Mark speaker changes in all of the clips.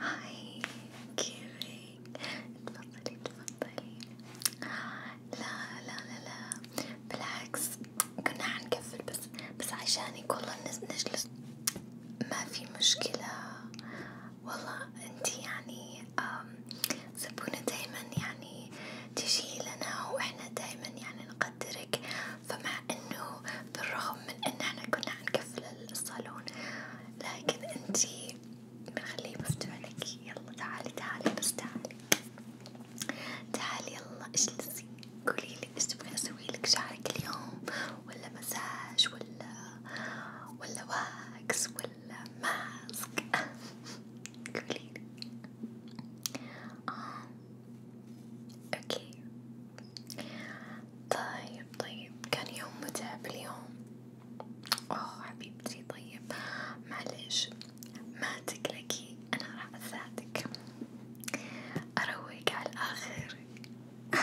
Speaker 1: هاي كيفك؟ تفضلي تفضلي لا لا لا لا بالعكس كنا حنكفل بس بس عشانك والله نجلس ما في مشكلة والله انتي يعني زبونة دايما يعني تجي لنا واحنا دايما يعني نقدرك فما إنه بالرغم من إن إحنا كنا حنقفل الصالون لكن أنتي بنخليه مفتوح لك يلا تعالي تعالي بس تعالي تعالي يلا اجلسي قوليلي ايش تبغي اسويلك شعرك اليوم ولا مساج ولا ولا واكس ولا ماسك قوليلي آه. اوكي طيب طيب كان يوم متعب اليوم اوه حبيبتي طيب معلش ما تقلقي انا راح اساعدك اروق على الاخر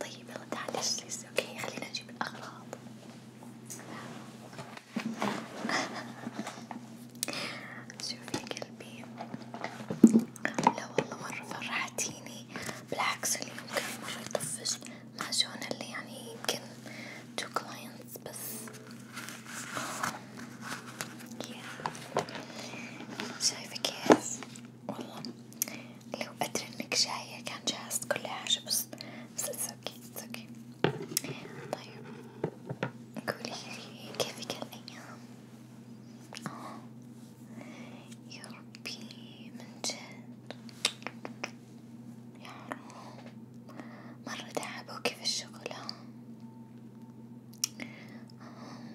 Speaker 1: طيب يلا تعالي اجلسي اوكي خلينا نجيب الاغراض شوفي يا قلبي لا والله مرة فرحتيني بالعكس اليوم كان مرة يطفش مع جونا اللي يعني يمكن تو كلاينتس بس شايفة كيف والله لو أدري إنك جاية كان جهزت كل حاجة بس بس it's okay, it's okay. طيب قوليلي كيف كان الأيام؟ يا ربي من جد يا حرام مرة تعبوكي في الشغل ها آه.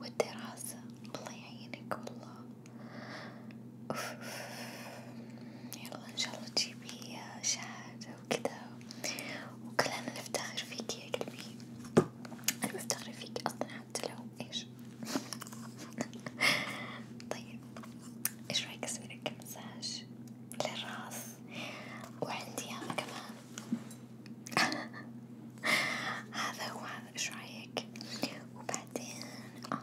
Speaker 1: والدراسة الله يعينك والله أوف. يلا ان شاء الله تجيبي آه، شهادة وكذا وكلنا نفتخر فيك يا قلبي أنا بفتخر فيك أصلا حتى لو إيش طيب إيش رأيك أسويلك مساج للراس وعندي هذا كمان هذا هو هذا إيش رأيك وبعدين آه،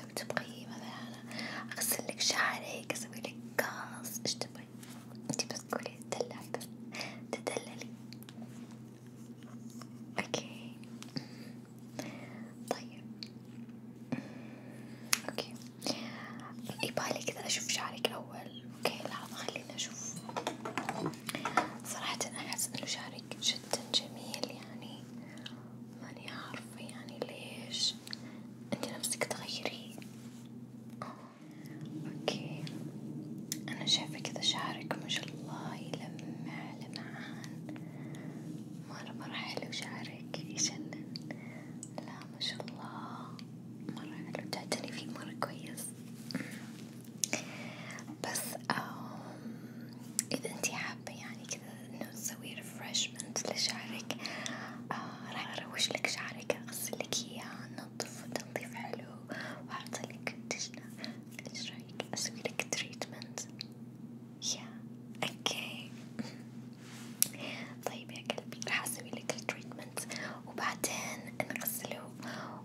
Speaker 1: لو تبغي مثلا أغسلك شعرك أسويلك قاص إيش تبغي؟ انتي بس قولي تدلع بس تدللي اوكي طيب اوكي يبالي كذا اشوف شعرك اول اوكي لحظة خليني اشوف صراحة احس انه شعرك جدا جميل يعني ماني عارفة يعني ليش انت نفسك تغيري اوكي انا شايفة كذا شعرك ما شاء الله يلمع لمعان مرة مرة حلو شعرك يجنن لا ما شاء الله مرة حلو تعتني فيه مرة كويس بس اذا انتي حابة يعني كذا انه تسوي ريفرشمنت لشعرك آه، راح اروش لك شعرك اغسل لك اياه انضفه تنظيف حلو وحاطة لك كونديشنر ايش رايك اسوي لك تريتمنت؟ يا اوكي طيب يا قلبي راح اسوي لك التريتمنت وبعدين نغسله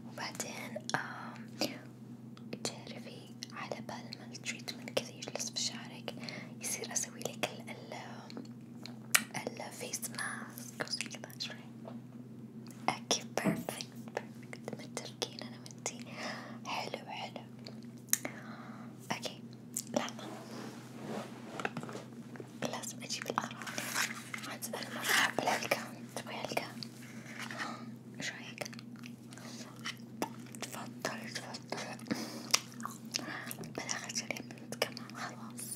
Speaker 1: وبعدين تعرفي على بال ما التريتمنت كذا يجلس في شعرك يصير اسوي لك ال ال الفيس ماسك وزي كذا شوي اوكي بيرفكت بيرفكت متفقين انا وانتي حلو حلو اوكي لحظة لازم اجيب الاغراض عاد انا مرة احب العلقة تبغي علقة؟ ايش رايك؟ تفضل تفضل بالاخر شريت كمان خلاص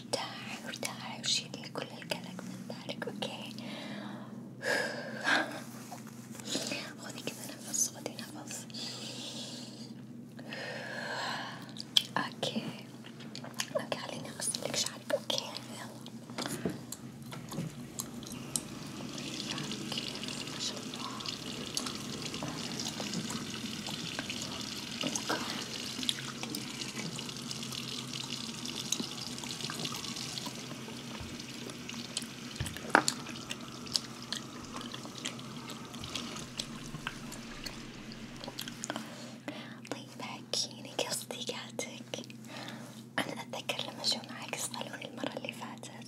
Speaker 1: وارتاح وارتاح وشيل كل القلق من بالك اوكي خذي كذا نفس خذي نفس اوكي اوكي خليني اغسلك شعرك اوكي يلا اوكي ما شاء الله اوكي طيب حكيلي كصديقاتك أنا أتذكر لما جو معك الصالون المرة اللي فاتت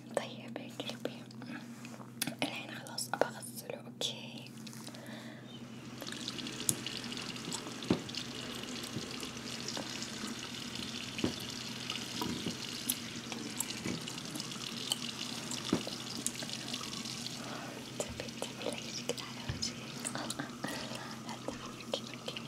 Speaker 1: طيب يا قلبي الحين خلاص ابى اغسله اوكي تبي تبي ليش كذا على وجهك حتى عليك اوكي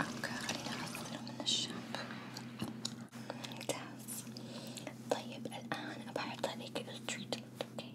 Speaker 1: اوكي خلينا نحصله من الشاب ممتاز طيب الان بحط عليك التريتمنت اوكي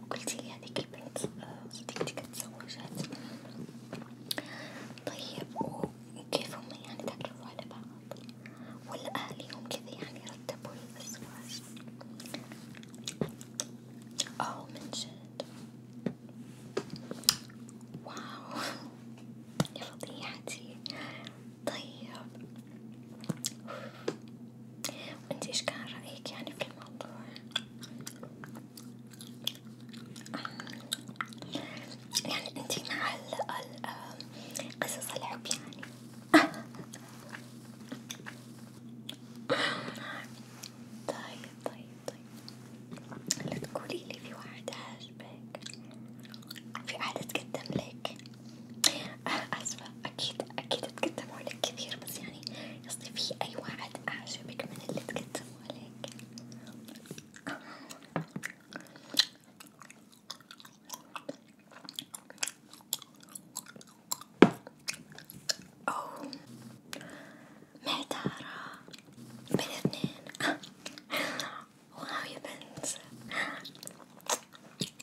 Speaker 1: وقلتيلي هاديك البنت آه، صديقتي كتزوجات طيب وكيف هما يعني تعرفوا على بعض ولا أهليهم كذا يعني رتبوا الأزواج أو من جد واو يا فضيحتي طيب وانت ايش كان رأيك يعني في الموضوع؟ يعني انتي مع قصص الحب يعني طيب طيب طيب لا تقولي لي في واحد عاجبك في واحد تقدم لك اسفة أكيد أكيد تقدموا لك كثير بس يعني قصدي في أي واحد أعجبك من اللي تقدموا لك؟ أوه معتارة بين اثنين واو يا بنت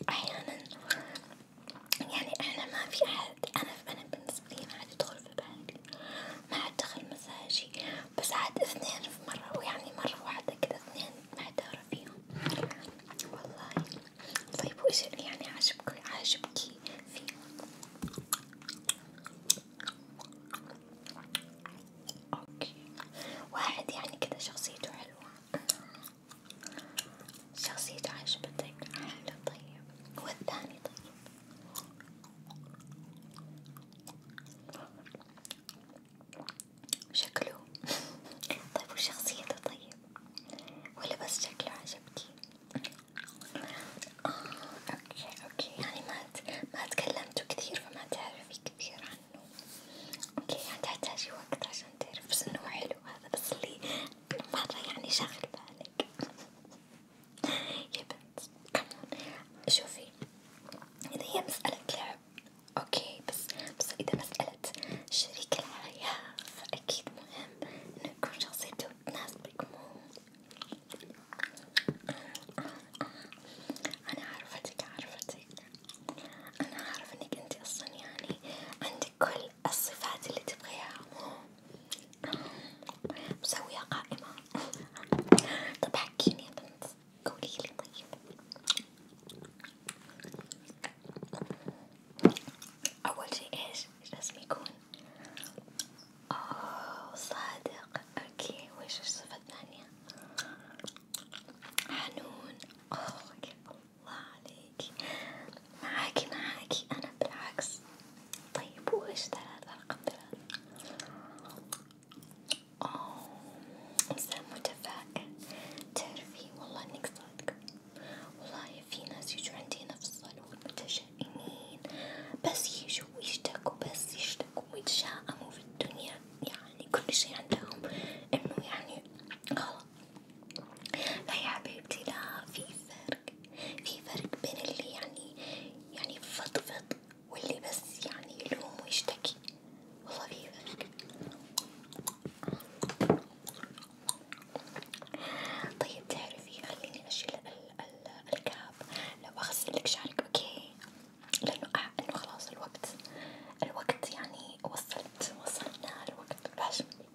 Speaker 1: أحيانا يعني احنا ما في احد انا انا بالنسبة لي ما عاد يدخل في بالي ما عاد دخل مزاجي بس عاد اثنين في مرة ويعني مرة واحدة كذا اثنين ما ادري فيهم والله طيب وش يعني عاجبك عاجبكي فيه اوكي واحد يعني كذا شخصيته حلوة شخصيته عجبتك حلو طيب والثاني طيب شكله طيب وشخصيته طيب ولا بس شكله عجبكي آه اوكي اوكي يعني ما ما تكلمتوا كثير فما تعرفي كثير عنه اوكي يعني تحتاجي وقت عشان تعرف بس انه حلو هذا بس اللي بالمرة يعني شغل بالك يا شوفي إذا هي مسألة لعب أوكي بس بس إذا مسألة شريك الحياة فأكيد مهم إنه يكون شخصيته تناسبك مو أنا عرفتك عرفتك أنا عارفة إنك أنت أصلا يعني عندك كل الصفات اللي تبغيها مسوية قائمة طب حكيني يا بنت قوليلي طيب أول شي إيش؟ إيش لازم يكون؟ أوه صادق أوكي وإيش الصفة الثانية؟ حنون أوه الله عليك معاكي معاكي أنا بالعكس طيب وإيش ده هذا رقم ثلاثة؟ أوه إنسان متفائل تعرفي والله إنك صادقة والله في ناس يجوا عندي هنا في الصالون متشائمين بس يجوا ويشتكوا بس يشتكوا ويتشائموا في الدنيا يعني كل شي عندهم إنه يعني لا يا حبيبتي لا في فرق في فرق بين اللي يعني يعني فضفض واللي بس يعني يلوم ويشتكي والله في فرق طيب تعرفي خليني اشيل الكاب لو اغسلك شعرك اوكي لانه انه خلاص الوقت الوقت يعني وصلت وصلنا الوقت باش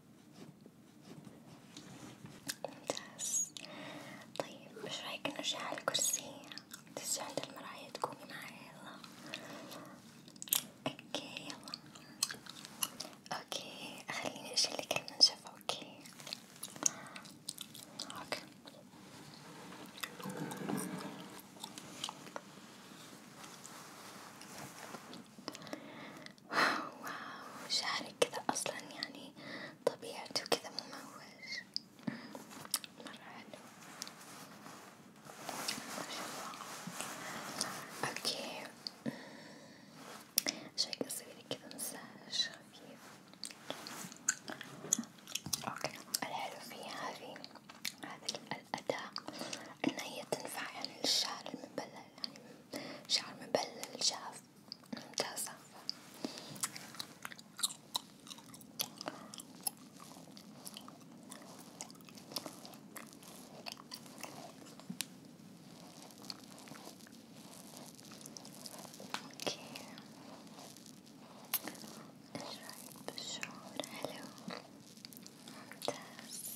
Speaker 1: ممتاز طيب ايش رايك نرجع على الكرسي تجي عند المراية تقومي معي يلا اوكي يلا اوكي خليني اشيلك المنشفة اوكي اوكي واو شعرك كذا اصلا يعني طبيعته كذا مموج مرة حلو اوكي شوي قصير كذا مساج خفيف اوكي الحلو فيها هذي هذه الأداة إن هي تنفع يعني للشعر المبلل يعني شعر مبلل جاف ممتازة اوكي ايش رايك بالشعور حلو ممتاز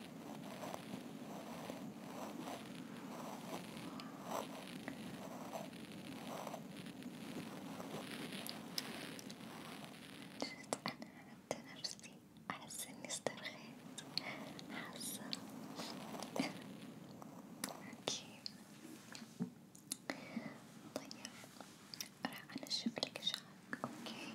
Speaker 1: جد أنا عند نفسي أحس إني استرخيت حاسة أكيد طيب راح أنشف لك شعرك أوكي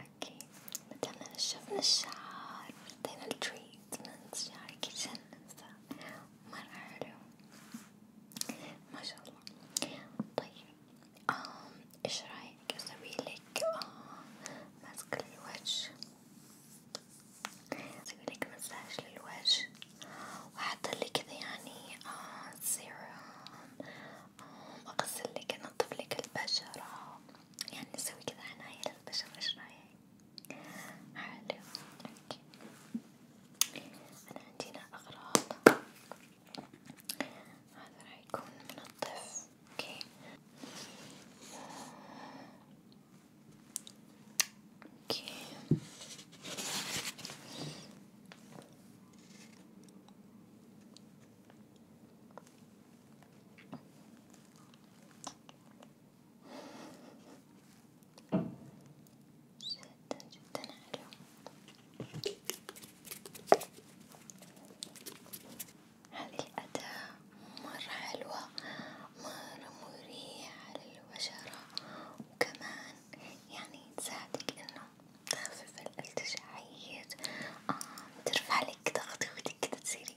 Speaker 1: اوكي متى شفنا الشعار بدينا التريتمنت شعرك يتشنس مرة حلو ما شاء الله طيب آم ايش رايك اسويلك ماسك آه، للوجه اسويلك مساج للوجه واحطلك كذا يعني سيروم آه، اغسلك انظفلك البشرة يعني نسوي كذا عناية للبشرة ايش رايك؟ حلو اوكي أنا عندي هنا أغراض هذا راح يكون منظف اوكي اوكي جدا جدا حلو هذه الأداة مرة حلوة مرة مريحة للبشرة وكمان يعني تساعدك إنه تخفف الالتجاعات آه ترفع لك ضغطك وتقدري تصيري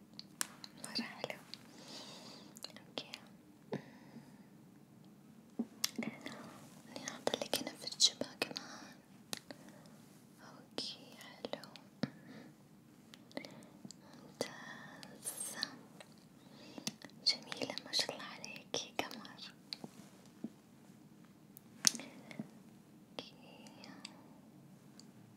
Speaker 1: مرة حلو اوكي اني اعطلي كنف الجبهة كمان اوكي حلو ممتاز جميلة ما شاء الله عليكي قمر اوكي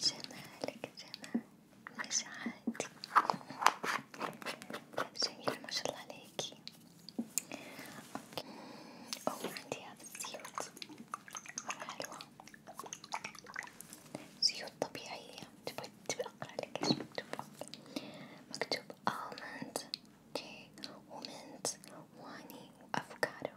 Speaker 1: جمالك جمال مش عادي جميلة ما شاء الله عليكي أو عندي هذا الزيوت مرة حلوة زيوت طبيعية تبغي تبي أقرأ لك إيش مكتوب مكتوب ألمند اوكي ومنت واني وأفوكادو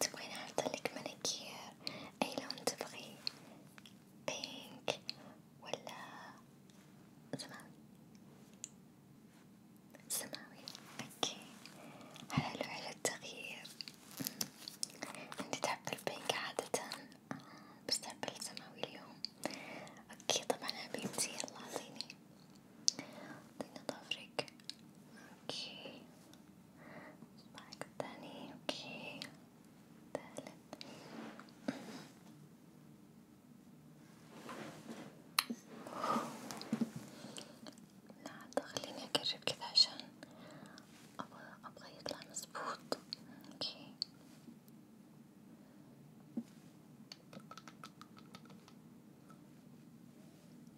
Speaker 1: تبغين أعطيلك مانيكير أي لون تبغي؟ بينك ولا سماوي؟ سماوي اوكي حلو على التغيير انت تحب البينك عادة بس تحب السماوي اليوم اوكي طبعا حبيبتي يلا اعطيني اعطيني ضفرك اوكي صباعك التاني اوكي تالت لا خليني اقرب كذا عشان ابغى ابغى يطلع مظبوط اوكي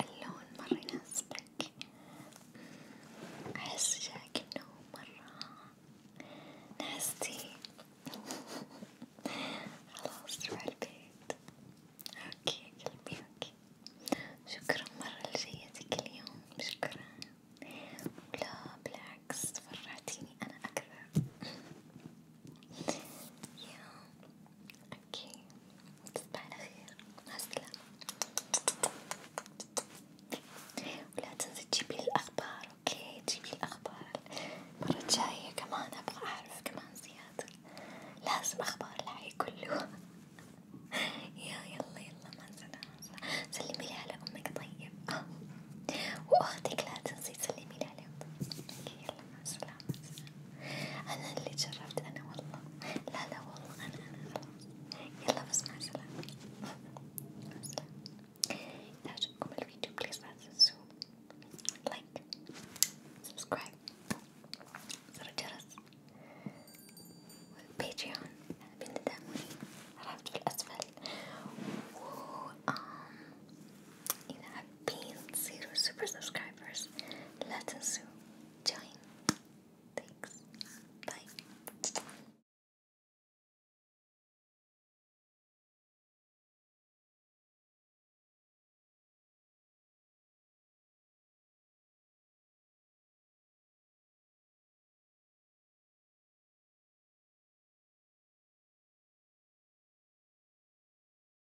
Speaker 1: اللون مرة يناسبك، أحس جاك إنه مرة نعستي خلاص روح البيت، أوكي قلبي أوكي، شكرا مرة لجيتك اليوم، شكرا، لا بالعكس فرحتيني أنا أكثر. يا اوكي تصبح على خير مع السلامة ولا تنسي تجيبلي الأخبار اوكي تجيبلي الأخبار المرة الجاية كمان أبغى أعرف كمان زيادة لازم أخبار الحي كله يا يلا يلا مع السلامة سلميلي على أمك طيب آه. وأختك لا تنسي تسلميلي عليهم اوكي يلا مع السلامة أنا اللي جربت أنا والله لا لا والله أنا أنا خلاص يلا بس مع السلامة مع السلامة إذا عجبكم الفيديو بليز لا تنسوا لايك سبسكرايب زر الجرس والبيتريون بتدعموني رابط في الأسفل و إذا zero super subscribers. Let's soon join. Thanks. Bye.